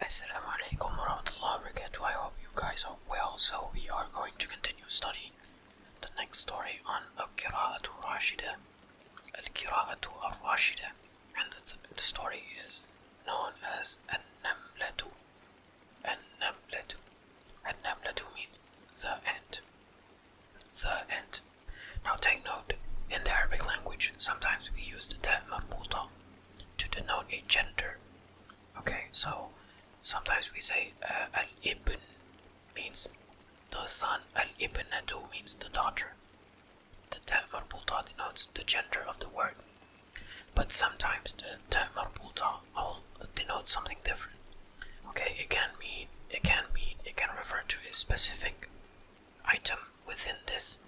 Assalamu alaikum warahmatullahi wabarakatuh. I hope you guys are well. So we are going to continue studying the next story on Al-Qira'atu Rashida. Al-Qira'atu Ar-Rashida. And the, story is known as An-Namlatu. An-Namlatu. An-Namlatu means the end. The ant. Now take note, in the Arabic language, sometimes we use the ta' marbuta to denote a gender. Okay, so sometimes we say uh, Al Ibn means the son, Al Ibn Nadu means the daughter. The Ta' Marbulta denotes the gender of the word, but sometimes the Ta' Marbulta denotes something different. Okay, it can mean, it can mean, it can refer to a specific item within this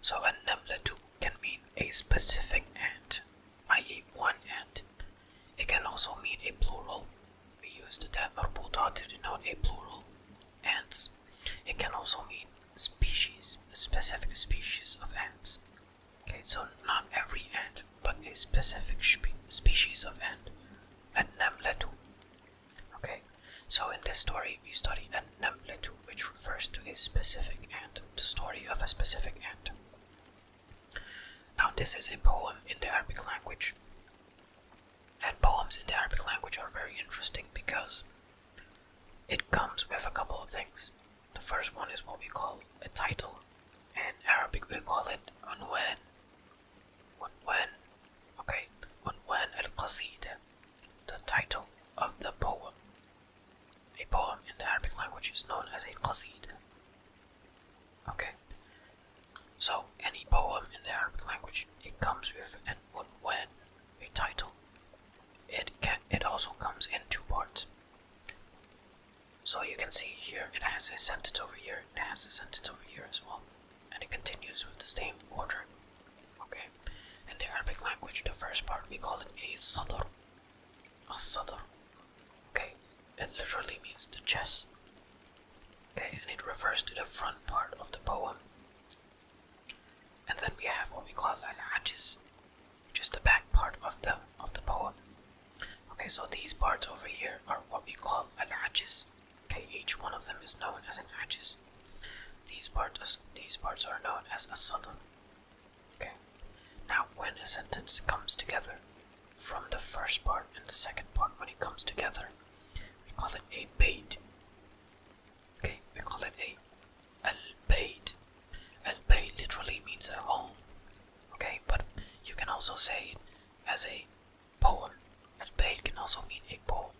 so a numlatu can mean a specific ant, i.e. one ant. It can also mean a plural. We use the term marbuta to denote a plural, ants. It can also mean species, a specific species of ants. Okay, so not every ant, but a specific species of ant, a namlatu. Okay, so in this story we study a an which refers to a specific ant, the story of a specific end. Now this is a poem in the Arabic language. And poems in the Arabic language are very interesting because it comes with a couple of things. The first one is what we call a title. In Arabic we call it unwan. Unwan. Okay. Unwan al-Qasida. The title of the poem. A poem in the Arabic language is known as a qasid. Okay. So any poem in the Arabic language, it comes with an unwan, a title. It can it also comes in two parts. So you can see here it has a sentence over here, it has a sentence over here as well, and it continues with the same order. Okay, in the Arabic language, the first part we call it a sadr. A sadr. Okay, it literally means the chest. Okay, and it refers to the front part of the poem. And then we have what we call al-ajiz, which the back part of the of the poem. Okay, so these parts over here are what we call al-ajiz. Okay, each one of them is known as an ajiz. These parts these parts are known as a sadr. Okay. Now, when a sentence comes together from the first part and the second part, when it comes together, we call it a bait. Okay, we call it a al bait. Al bait literally means a home. Okay, but you can also say it as a poem. Al bait can also mean a poem.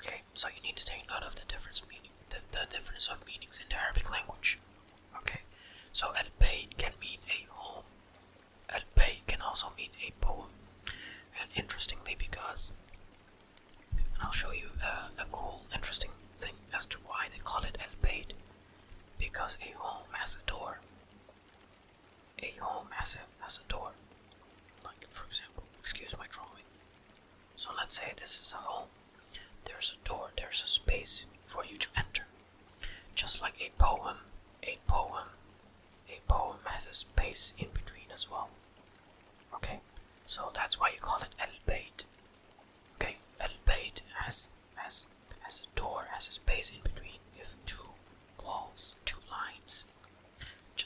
Okay, so you need to take note of the difference meaning the, the difference of meanings in the Arabic language. Okay, so al bayt can mean a home. Al bayt can also mean a poem, and interestingly, because and I'll show you uh, a cool, interesting thing as to why they call it al bayt, because a home has a door. A home has a has a door. Like for example, excuse my drawing. So let's say this is a home. There's a door, there's a space for you to enter. Just like a poem, a poem, a poem has a space in between as well. Okay, so that's why you call it El Bayt. Okay, El Bayt has, has, has a door, has a space in between if two walls, two lines.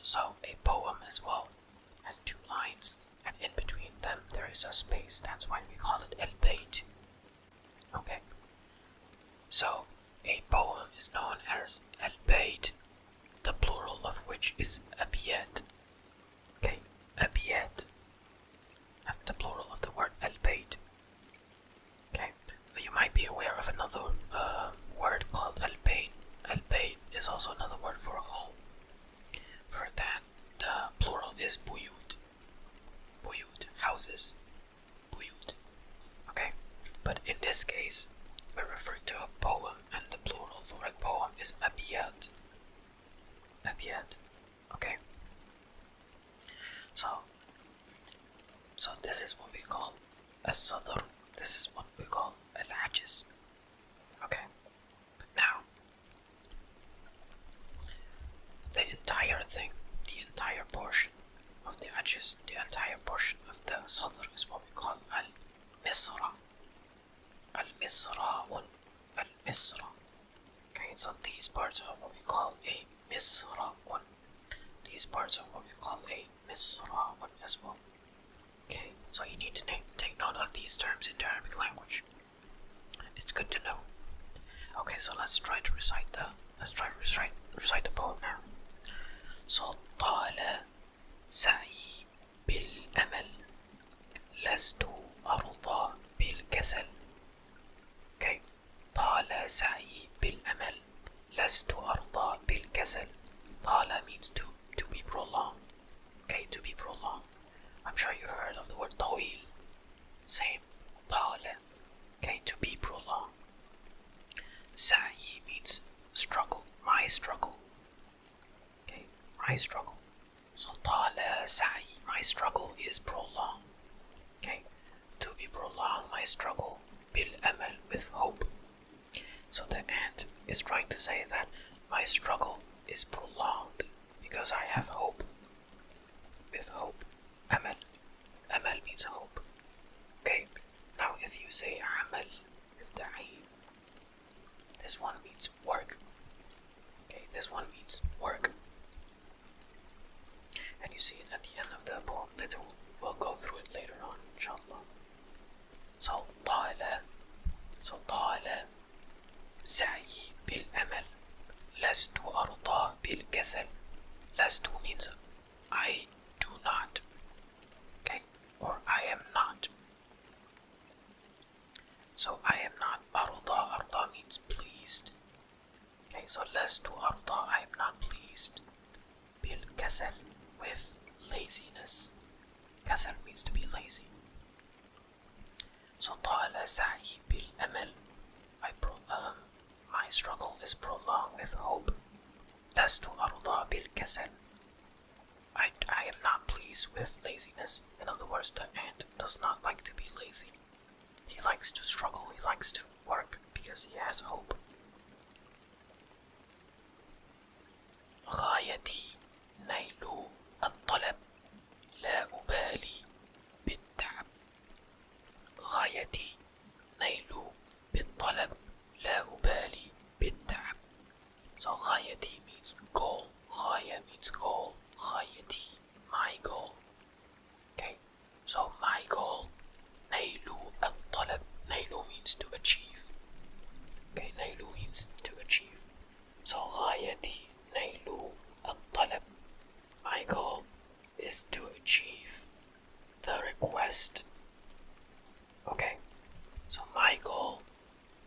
So a poem as well has two lines, and in between them there is a space. That's why we call it el bait. Okay. So a poem is known as el bait, the plural of which is abiyat. Okay, abiyat. That's the plural of the word el bait. Okay. You might be aware of another uh, word called el bayn El bayn is also another word for home. For that, the plural is buyut. Buyut, houses. Buyut. Okay, but in this case, we're referring to a poem, and the plural for a poem is abiyat. Abiyat. Okay. So, so this is what we call a sadr. This is what we call a lajis. Okay. Now, the entire thing, the entire portion of the edges, the entire portion of the sadr is what we call al misra. Al misra, al misra. Okay, so these parts are what we call a misra. These parts are what we call a misra as well. Okay, so you need to take note of these terms in the Arabic language. It's good to know. Okay, so let's try to recite the let's try to recite recite the poem now. So طال سعي بالأمل لست أرضى بالكسل. Okay. طال سعي بالأمل لست أرضى بالكسل. طال means to to be prolonged. Okay, to be prolonged. I'm sure you heard of the word طويل. Same. طال. Okay, to be prolonged. سعي means struggle. My struggle. Okay, my struggle. So طال سعي. My struggle is prolonged. Okay, to be prolonged. My struggle. بالأمل with hope. So the ant is trying to say that my struggle is prolonged because I have hope. With hope, Amal. Amal means hope. Okay, now if you say Amal with the Ayn, this one means work. Okay, this one means work. And you see it at the end of the poem later. We'll go through it later on, inshallah. So, طالة. So, طالة سعي بالأمل لست أرضى بالكسل لست means I do not okay or I am not so I am not أرضى أرضى means pleased okay so لست أرضى I am not pleased بالكسل with laziness كسل means to be lazy so طال سعي بالأمل I pro um, my struggle is prolonged with hope لست أرضى bil I, I am not pleased with laziness. In other words, the ant does not like to be lazy. He likes to struggle, he likes to work because he has hope. غايتي نيل الطلب لا أبالي بالتعب غايتي نيل بالطلب لا أبالي بالتعب So غايتي means goal غاية means goal غايتي my goal Okay So my goal نيل الطلب نيل means to achieve Okay نيل means to achieve So غايتي نيل الطلب. My goal is to achieve the request. Okay, so my goal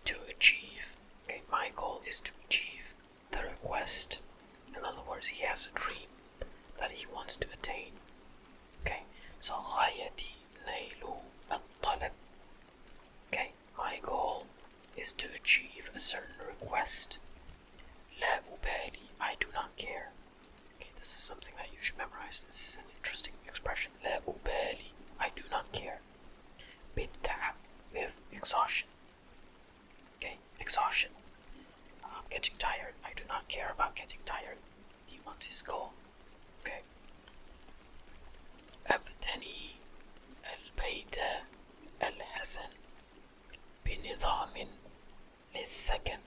to achieve. Okay, my goal is to achieve the request. In other words, he has a dream that he wants to attain. Okay, so غايتي نيل الطلب. Okay, my goal is to achieve a certain request. La ubedi, I do not care. this is something that you should memorize. This is an interesting expression. La ubedi, I do not care. Bitta with exhaustion. Okay, exhaustion. I'm getting tired. I do not care about getting tired. He wants his goal. Okay. أبتني البيت الحسن بنظام للسكن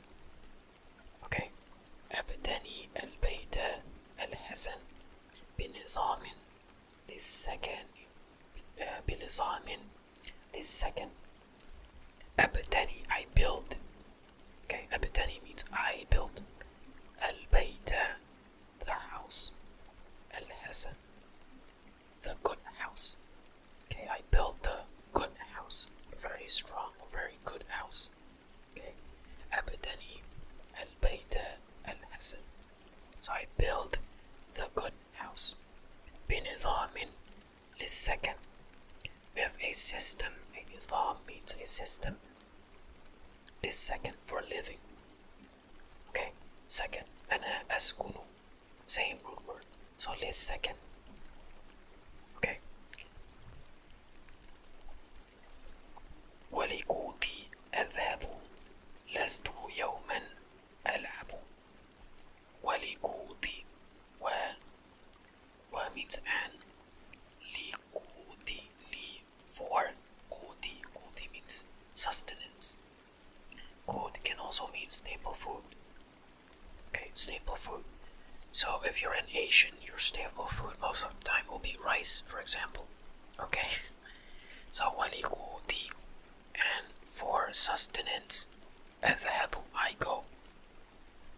okay. أبتني البيت الحسن بنظام للسكن بنظام للسكن أبتني I build okay. أبتني means I build البيت the house الحسن the good house. Okay, I build the good house, very strong, very good house. Okay, أبني البيت الحسن. So I build the good house. بنظام second. We have a system. A نظام means a system. This second for living okay second أنا أسكن uh, same root word so let's second okay ولقوتي أذهب لست يوما ألعب ولقوتي و و means and لقوتي لي for قوتي قوتي means sustenance Food can also mean staple food. Okay, staple food. So if you're an Asian, your staple food most of the time will be rice, for example. Okay? So when you go deep and for sustenance, as a Ethahabu I go.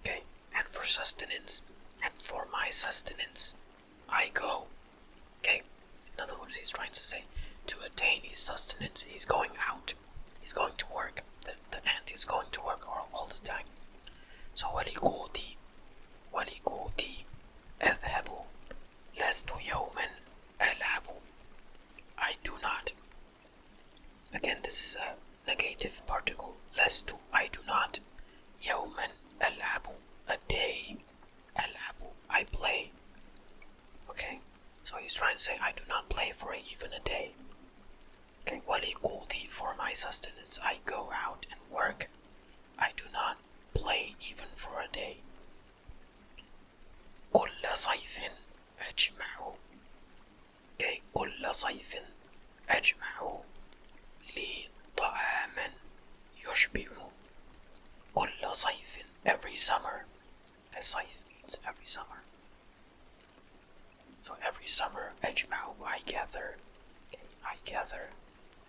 Okay? And for sustenance, and for my sustenance, I go. Okay, in other words, he's trying to say to attain his sustenance, he's going out, he's going to work. The, the ant is going to work all, all the time. So, ولقوتي ولقوتي أذهب لست يوما ألعب I do not. Again, this is a negative particle. Lest to I do not. Yawman alabu, a day Al-Abu, I play. Okay, so he's trying to say, I do not play for even a day. Okay, Walikulti, for my sustenance, I go out and work. I do not play even for a day. كل صيف أجمع كي كل صيف أجمع لي طعاما يشبع كل صيف every summer as scythe means every summer. So every summer, Edgemount, I gather, I gather,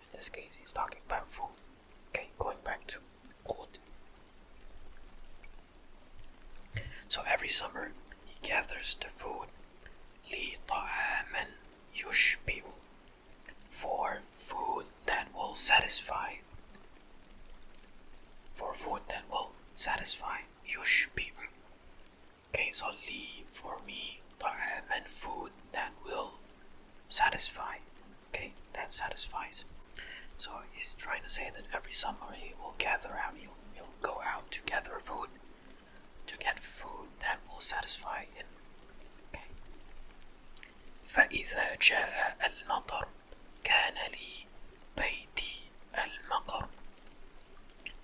in this case he's talking about food, okay, going back to food. So every summer, he gathers the food, لِطَعَامًا يُشْبِعُ for food that will satisfy for food that will satisfy your spirit. Okay, so leave for me طعام and food that will satisfy. Okay, that satisfies. So he's trying to say that every summer he will gather out, he'll, he'll go out to gather food, to get food that will satisfy him. Okay. فإذا جاء المطر كان لي بيتي المقر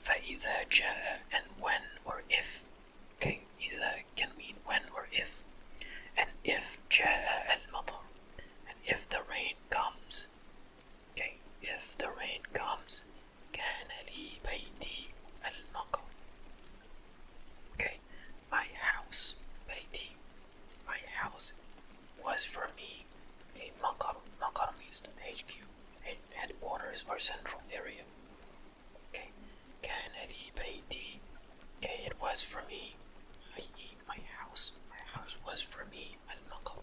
فإذا جاء and when or if okay إذا can mean when or if and if جاء المطر and if the rain comes okay if the rain comes كان لي بيتي المقر okay My house, Beiti, my house was for me a Makarmist HQ and headquarters or central area. Okay, Kennedy Beiti, okay, it was for me, i.e., my house. My house was for me a Makar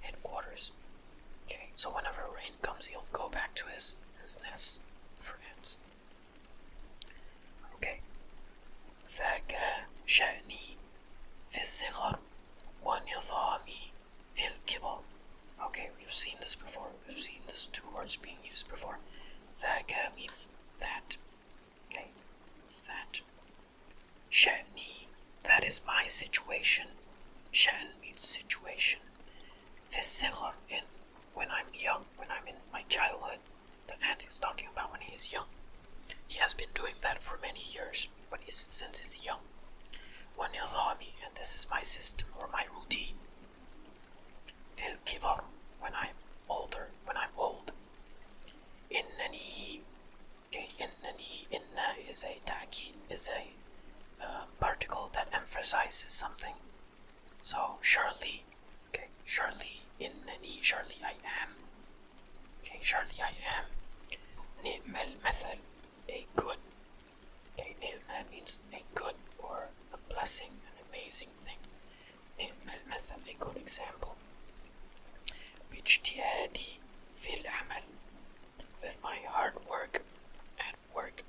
headquarters. Okay, so whenever rain comes, he'll go back to his, his nest for ants. Okay, ذاك شأني في الصغر ونظامي في الكبر Okay, we've seen this before. We've seen these two words being used before. ذاك means that. Okay, that. شأني, that is my situation. شأن means situation. في الصغر, in when I'm young, when I'm in my childhood. The ant is talking about when he is young. He has been doing that for many years, but he since he's young. he is army, and this is my system or my routine. Phil Kivar, when I'm older, when I'm old. Innani, okay, innani, inna is a ta'kid, is a uh, particle that emphasizes something. So, surely, okay, surely, any, surely I am. Okay, Charlie, I am. نعم المثل, a good. Okay, نعم means a good or a blessing, an amazing thing. نعم المثل, a good example. باجتهادي في العمل, with my hard work at work.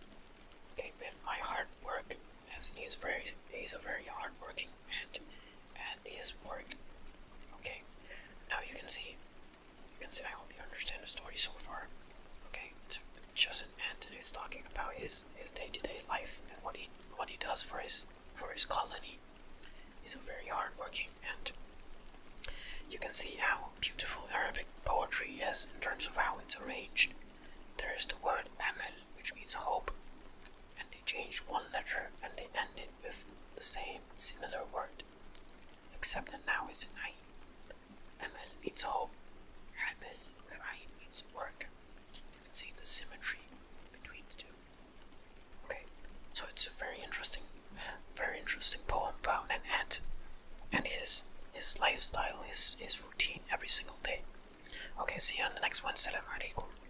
Okay, with my hard work, as he very, he's a very hardworking and at his work. Okay, now you can see, you can see. I hope you understand the story so far. Okay, it's just an ant, and he's talking about his his day-to-day life and what he what he does for his for his colony. He's a very hard-working ant. You can see how beautiful Arabic poetry is in terms of how it's arranged. There is the word amel, which means hope, and they changed one letter and they ended with the same similar word, except that now it's an I. Amel means hope, Amel with I means work. You can see the symmetry between the two. Okay, so it's a very interesting, very interesting poem about an ant and his his lifestyle, is his routine every single day. Okay, see you on the next one. Salam alaikum.